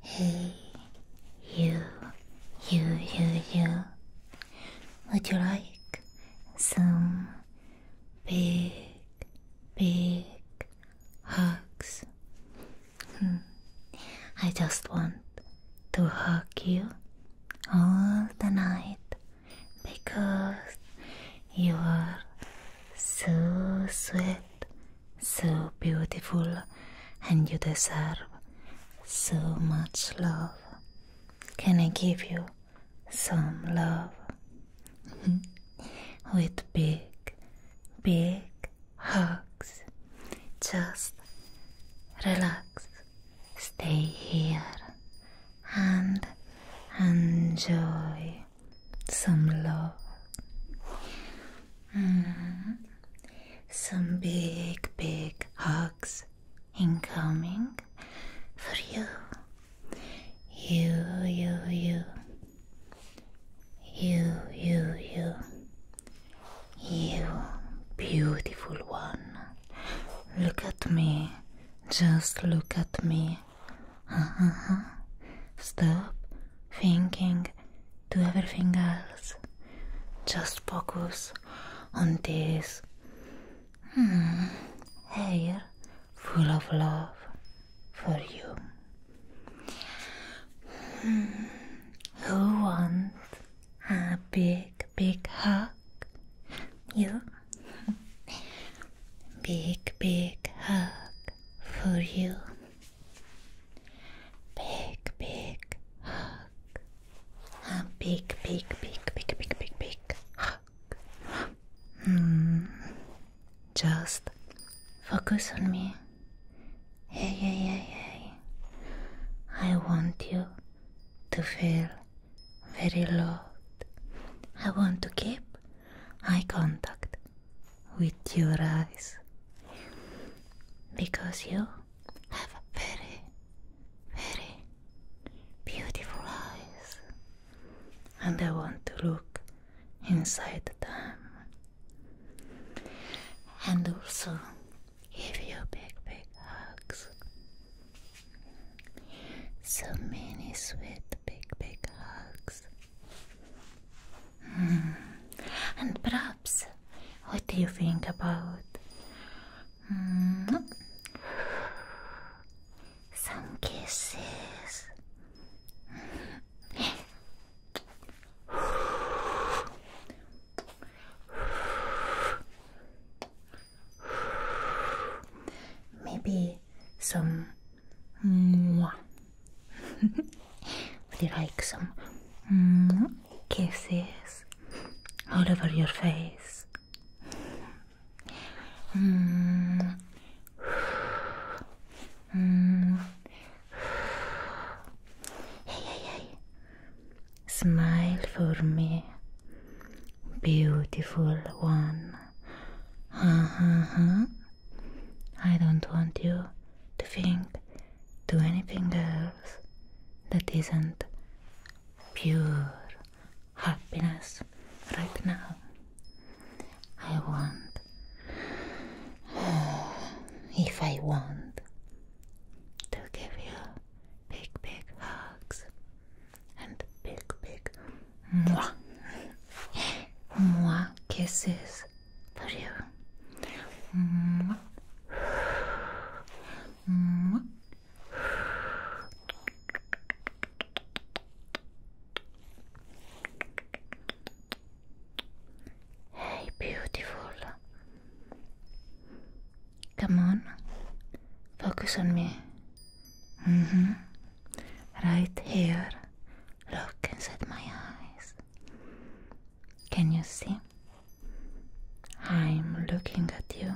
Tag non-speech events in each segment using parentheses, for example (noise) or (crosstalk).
Hey, you, you, you, you. Would you like some big, big hugs? Hmm. I just want to hug you all the night because you are so sweet so beautiful, and you deserve so much love. Can I give you some love? (laughs) With big, big hugs. Just relax, stay here, and enjoy some love, mm, some big, big hugs incoming for you. You, you, you, you, you, you, you, beautiful one. Look at me, just look at me. Uh-huh. Stop thinking Do everything else. Just focus on this hmm, full of love for you. Hmm, who wants a big, big hug? You? (laughs) big, big hug for you. Big, big hug. A big, big, big, big, big, big, big hug. Hmm. Just focus on me. Hey, hey, hey, hey. I want you to feel very loved. I want to keep eye contact with your eyes because you have very, very beautiful eyes, and I want to look inside them. And also give you big, big hugs. So many sweet, big, big hugs Hmm. And perhaps, what do you think about hmm, some kisses? Maybe some (laughs) Would you like some kisses all over your face? (sighs) Smile for me, beautiful one. Uh-huh, uh-huh. I don't want you to think to anything else that isn't pure happiness right now. I want, (sighs) if I want, to give you big, big hugs and big, big mwah, (laughs) mwah kisses for -hmm. -hmm. Hey, beautiful. Come on, focus on me. Mm -hmm. Right here. Look inside my eyes. Can you see? I'm looking at you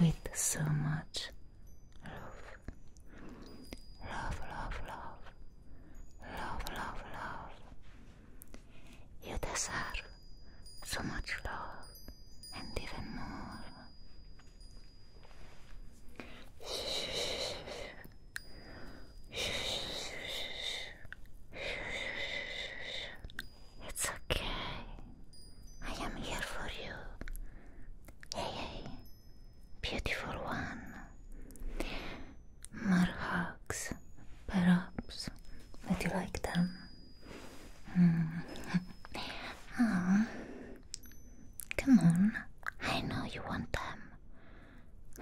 with so much love. Love, love, love. Love, love, love. You deserve so much love and even more. It's okay. I am here for you. Hey, beautiful one. More hugs, perhaps. Would you like them? Mm. oh, (laughs) come on. I know you want them. (laughs)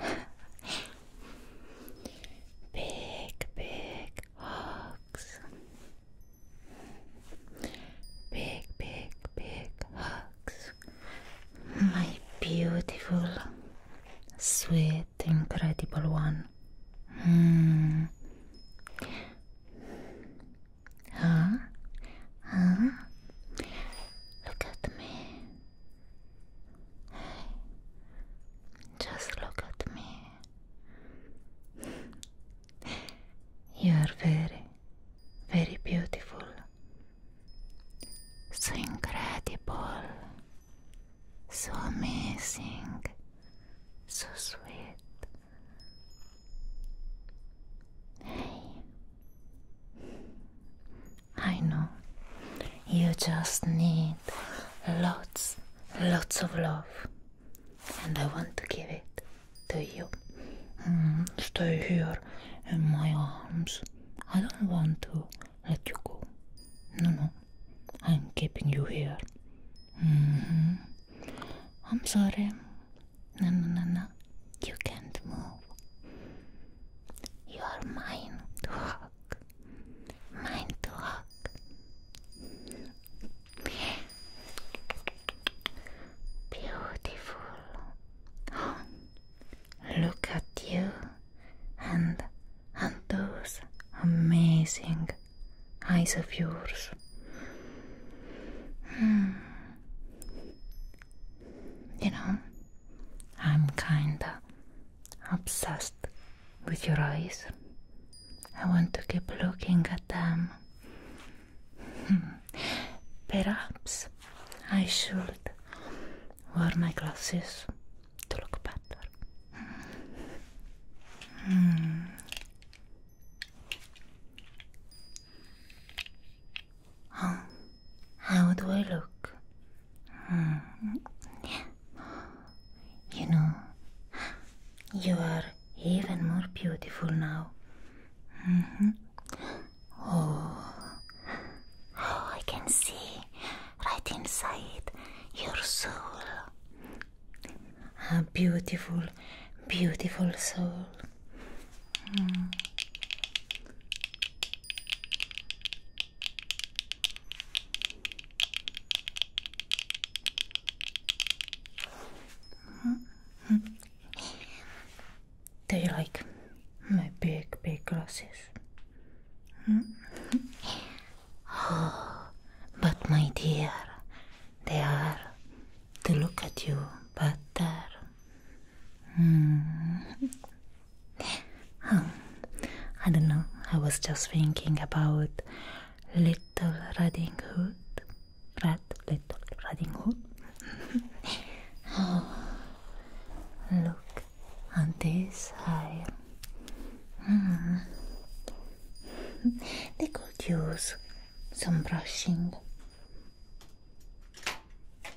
big, big hugs. Big, big, big hugs. My beautiful, sweet, incredible one. Mm. Huh? Huh? Look at me just look at me. you are very, very beautiful. So incredible, so amazing, so sweet. Hey, I know. You just need lots, lots of love. And I want to give it to you. Mm-hmm. stay here in my arms. I don't want to let you go. No, no. I'm keeping you here. Mm-hmm. I'm sorry. No, no, no, no. You can't move. You are mine (sighs) walk, mine Beautiful. look at you and and those amazing eyes of yours. Hmm. You know, I'm kinda obsessed with your eyes. I want to keep looking at them. (laughs) Perhaps I should wear my glasses to look better. Mm. How do I look? Hmm. You know, you are even more beautiful now. Mm -hmm. Oh. oh, I can see right inside your soul. A beautiful, beautiful soul. Mm. Do you like my big, big glasses? (gasps) but my dear, they are to look at you better. Um, I don't know, I was just thinking about Little Riding Hood. Red Little Riding Hood. oh, (laughs) look on this side. Mm. They could use some brushing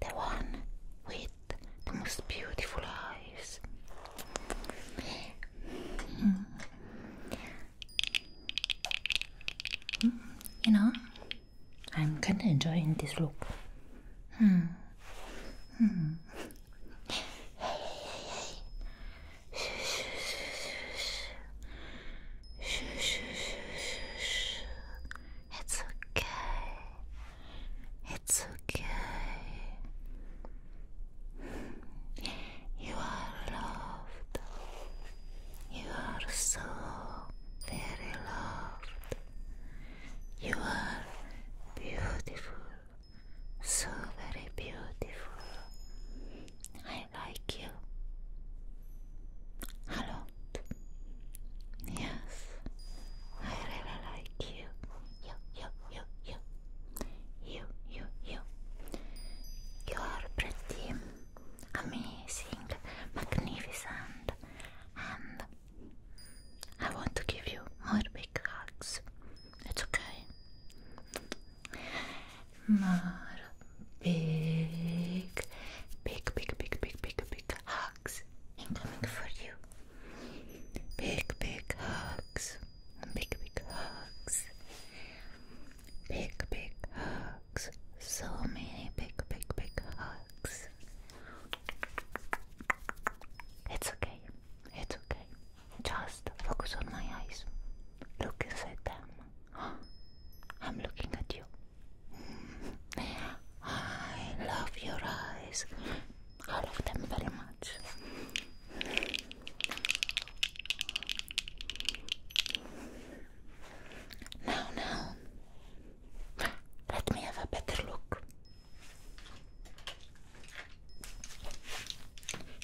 the one with the most beautiful eyes. Mm. You know, I'm kinda enjoying this look. Mm. Mm. Hey, hmm. hey, hey, hey. Shh, shh, shh, shh. Shh, shh, It's okay. It's okay. You are loved. You are so very loved. You are beautiful. So very beautiful. I like you a Yes, I really like you. You, you, you, you, you, you, you. You are pretty, amazing, magnificent, and I want to give you more big hugs. It's okay. More big, big, big, big, big, big, big hugs. I'm coming for you. Big, big hugs. Big, big hugs. Big, big hugs. So many big, big, big hugs. It's okay. It's okay. Just focus on my eyes. Look inside them. (gasps) I'm looking at you. I love your eyes. I love them very much. Now, now, let me have a better look.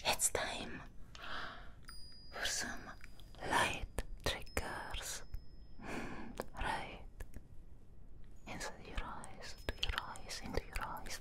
It's time for some light triggers. (laughs) right. Into your eyes, to your eyes, into your eyes.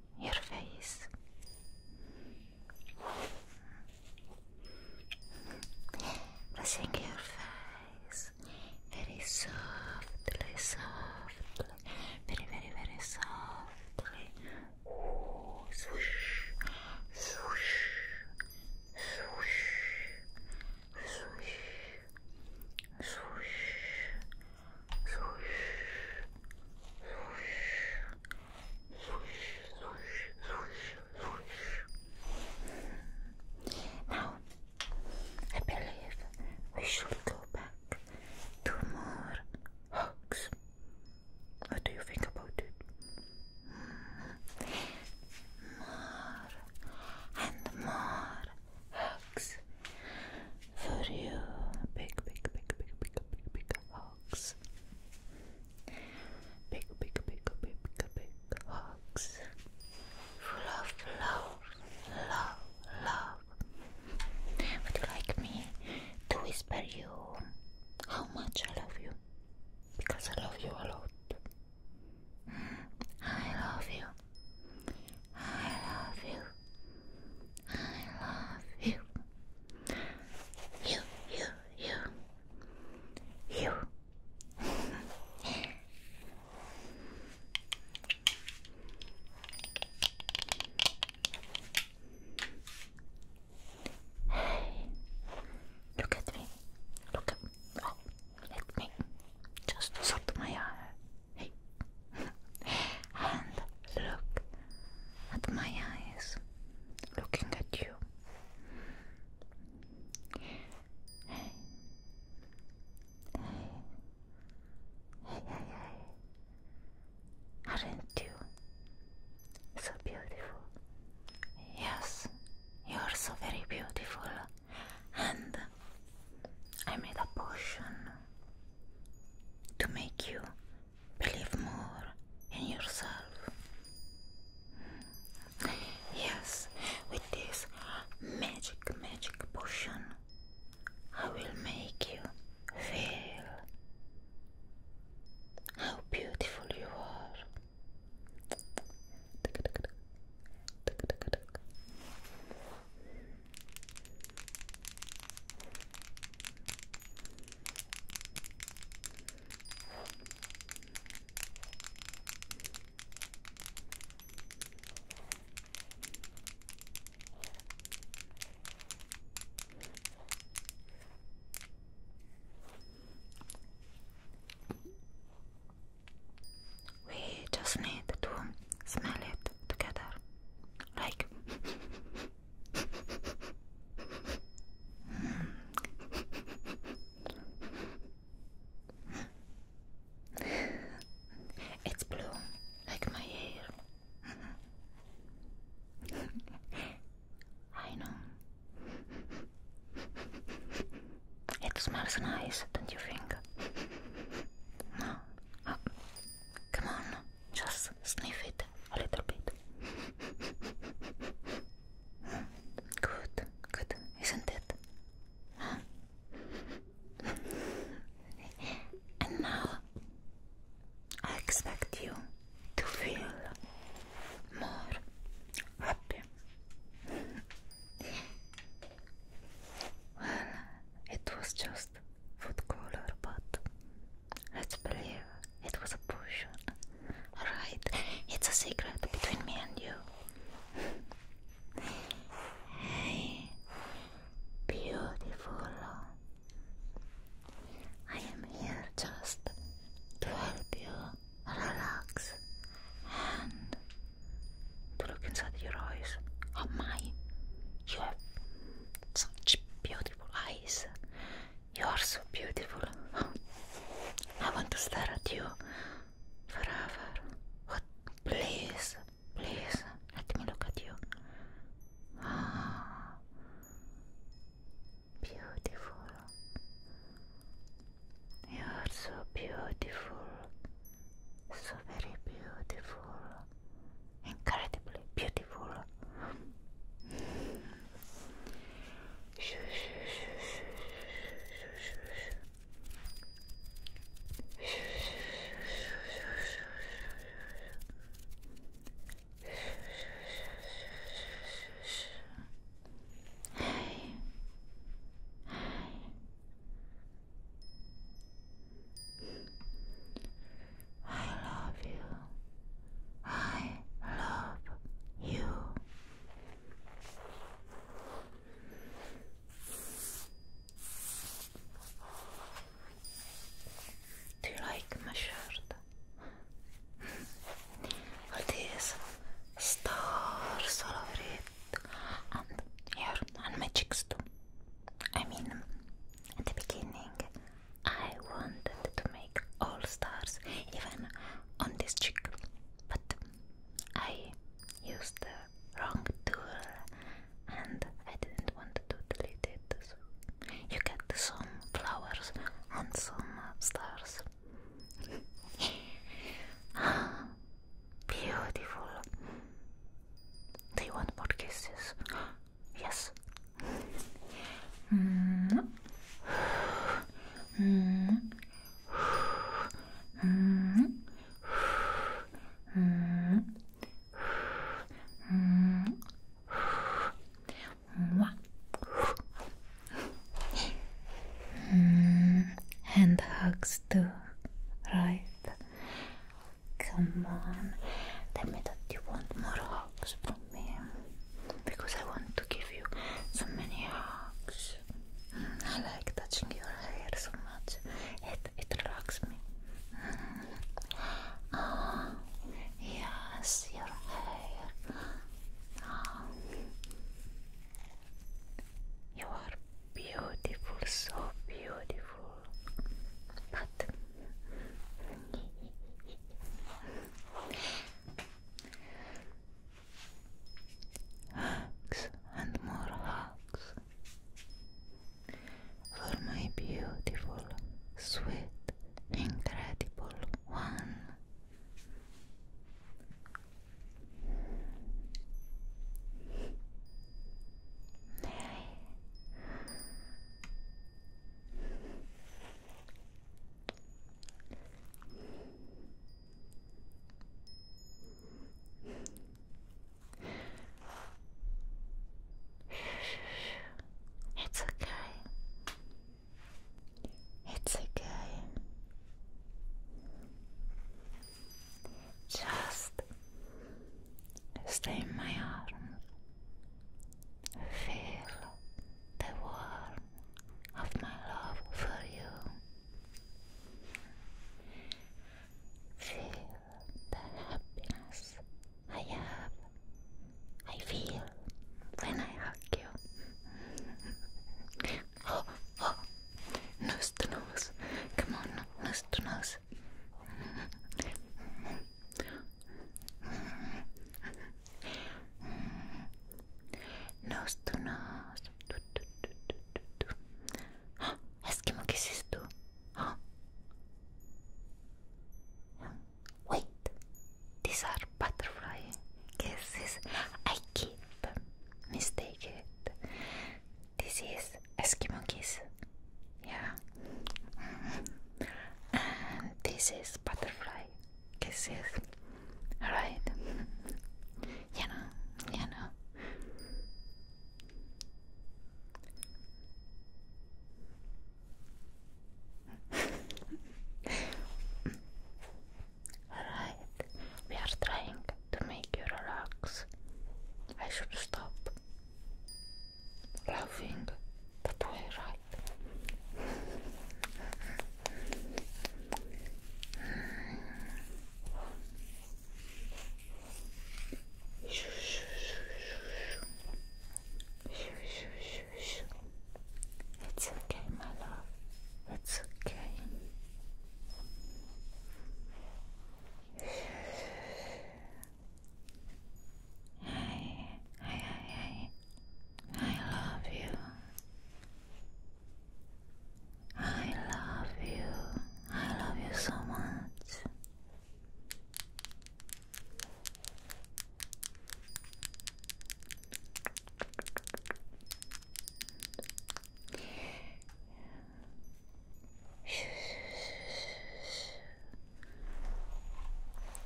your face. Brushing your face very softly, softly, very, very, very softly. Ooh, swoosh, swoosh, swoosh, swoosh, swoosh, now, I believe we should go back to more hugs. What do you think about it? More and more hugs for you. Big, big, big, big, big, big, big hugs. Big, big, big, big, big hugs. Full of love, love, love. Would you like me to whisper you how much I love you? Because I love you a lot. Mm, I love you. I love you. I love you. You, you, you. You. look at me. Look at me. let me just shut my eye. Hey and look at my eyes looking at you. Hey. Hey. Hey, hey, Aren't you so beautiful? Yes, you're so very beautiful. And I made a potion to make you believe more in yourself. Yes, with this magic, magic potion, I will make you feel how beautiful you are. We just need to smell it together, like (laughs) It's blue, like my hair. I know. It smells nice, don't you think? No. Oh, come on. Just sniff it a little bit. Good, good, isn't it? and now I expect you to feel more happy. it was just food color, but let's believe it was a potion. Alright, it's a secret between me and you. hey, beautiful. I am here just to help you relax and to look inside your eyes. Oh my, you have such beautiful eyes. You are so beautiful. I want to stare at you forever. Please, please, let me look at you. Ah, beautiful. You are so beautiful. So very beautiful incredibly beautiful. I love you. I love you. Do you like my shirt? All these stars (laughs) all over it, and here, and my cheeks too. I mean, at the beginning, I wanted to make all stars, even on this cheek, but I used the wrong tool and I didn't want to delete it. So you get some flowers and some stars. ah, (laughs) beautiful. Do you want more kisses? Yes. Mm. Mm. Mm. Mm. Mm. Mm. And hugs too, right? Come on, tell me that you want more hugs me because I want to give you so many hugs. Mm, I like touching your hair so much. It it relaxes me. Mm. Ah, yes, your hair. Ah. You are beautiful, so beautiful. But Hugs and more hugs for my beautiful, sweet, incredible one. It's okay. It's okay. Just stay in my arms. Feel the warmth of my love for you. Feel the happiness I have. I feel when I hug you. (laughs) Oh, oh. nose to nose. Come on, nose to (laughs) nose. Nose to Eskimo kisses too. Huh? Wait, these are butterfly kisses. I keep mistaken. This is Eskimo kiss. Yeah. And this is butterfly my kisses, right? you know, you Alright, we are trying to make you relax. I should stop laughing but It's okay, my love. It's okay. Hi, hi, hi, hi. I love you. I love you. I love you so much.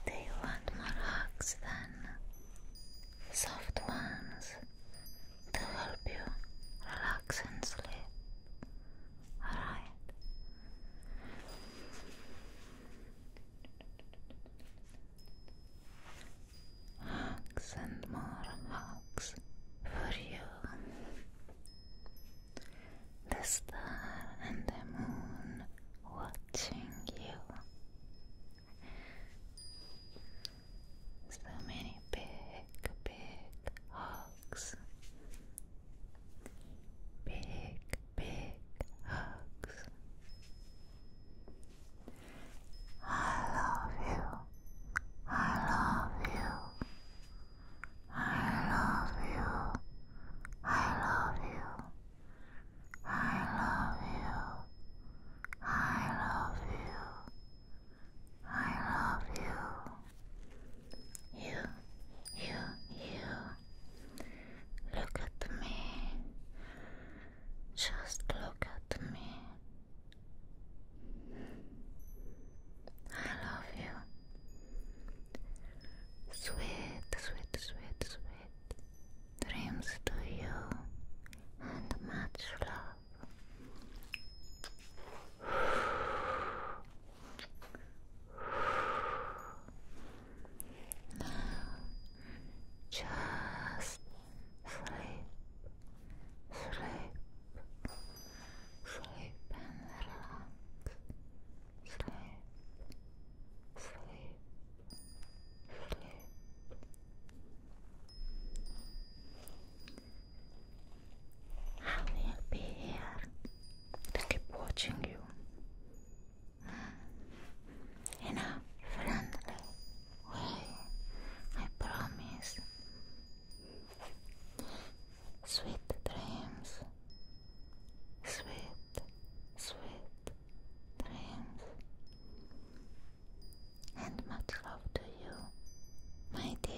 Do you want more hugs then? Soft ones to help you relax and sleep. Alright. Hugs and more hugs for you. The star and the moon watching you. So many big, big hugs. Big, big hugs. I love you. I love you. I love you. I love you. I love you. I love you. I love you. You, you, you. Look at me. Just look at me. I love you. Sweet, sweet, sweet, sweet. Dreams to you and much love. Now, just sleep, sleep, sleep and relax. Sleep, sleep, I will be here to keep watching you mm. in a friendly way, I promise. Sweet dreams, sweet sweet dreams and much love to you, my dear.